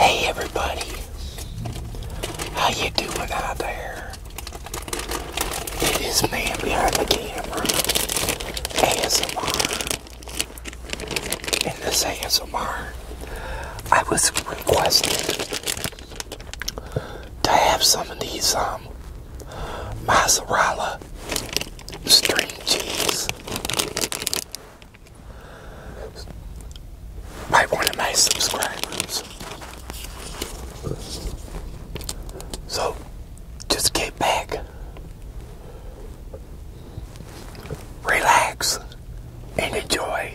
Hey everybody, how you doing out there? It is man behind the camera, ASMR. And this ASMR, I was requested to have some of these um, mozzarella string cheese by one of my subscribers. So just get back, relax, and enjoy.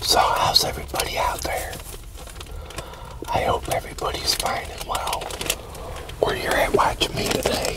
So, how's everybody out there? I hope everybody's fine and well where you at watching me today.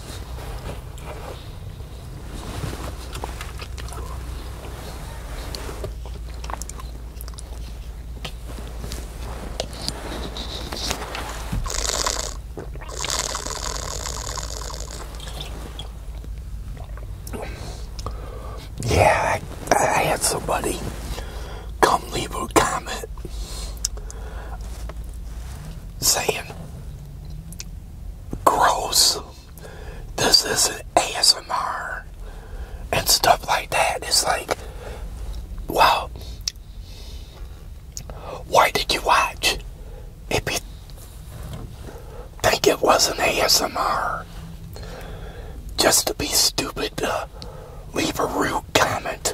Yeah, I, had somebody come leave a comment saying gross. This isn't ASMR and stuff like that. It's like, wow, why did you watch if you think it wasn't ASMR? Just to be stupid leave a rude comment.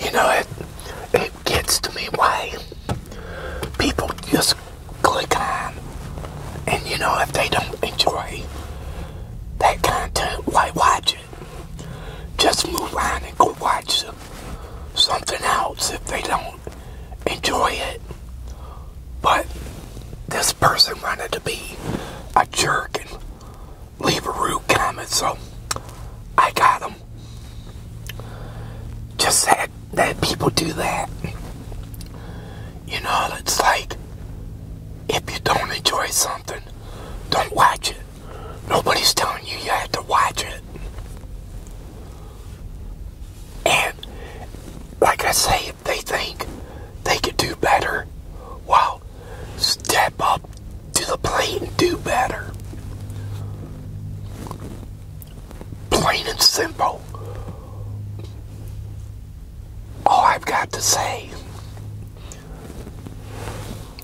You know, it, it gets to me why people just click on and you know if they don't enjoy that content, why watch it? Just move on and go watch something else if they don't enjoy it. But this person wanted to be a jerk and leave a rude comment, so I got him. Just that, that people do that. You know, it's like if you don't enjoy something, don't watch it. Nobody's telling you you have to watch it. And like I say, if they think they could do better, well, step up to the plate and do better. Plain and simple. All I've got to say.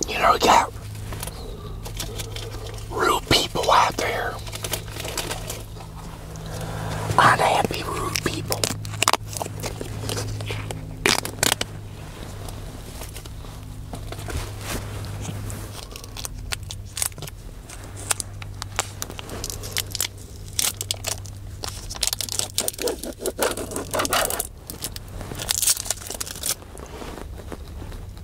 You know, you got real people out there unhappy, rude people.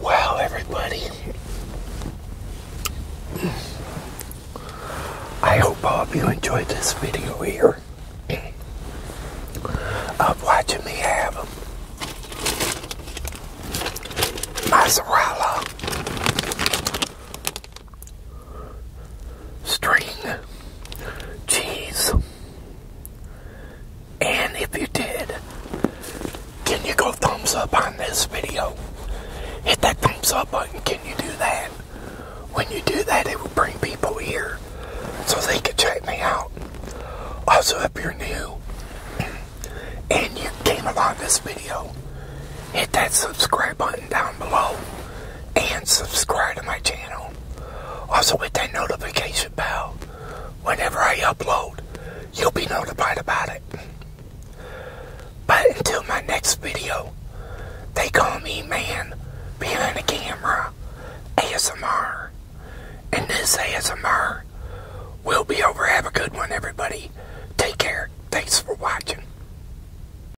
Wow, everybody. I hope all of you enjoyed this video here of watching me have mozzarella string cheese. And if you did, can you go thumbs up on this video? Hit that thumbs up button. Can you do that? When you do that, it will bring people here so they can check me out. Also, if you're new and you came along this video, hit that subscribe button down below and subscribe to my channel. Also hit that notification bell. Whenever I upload, you'll be notified about it. But until my next video, they call me man behind the camera ASMR. And this ASMR will be over. Have a good one, everybody. Take care. Thanks for watching.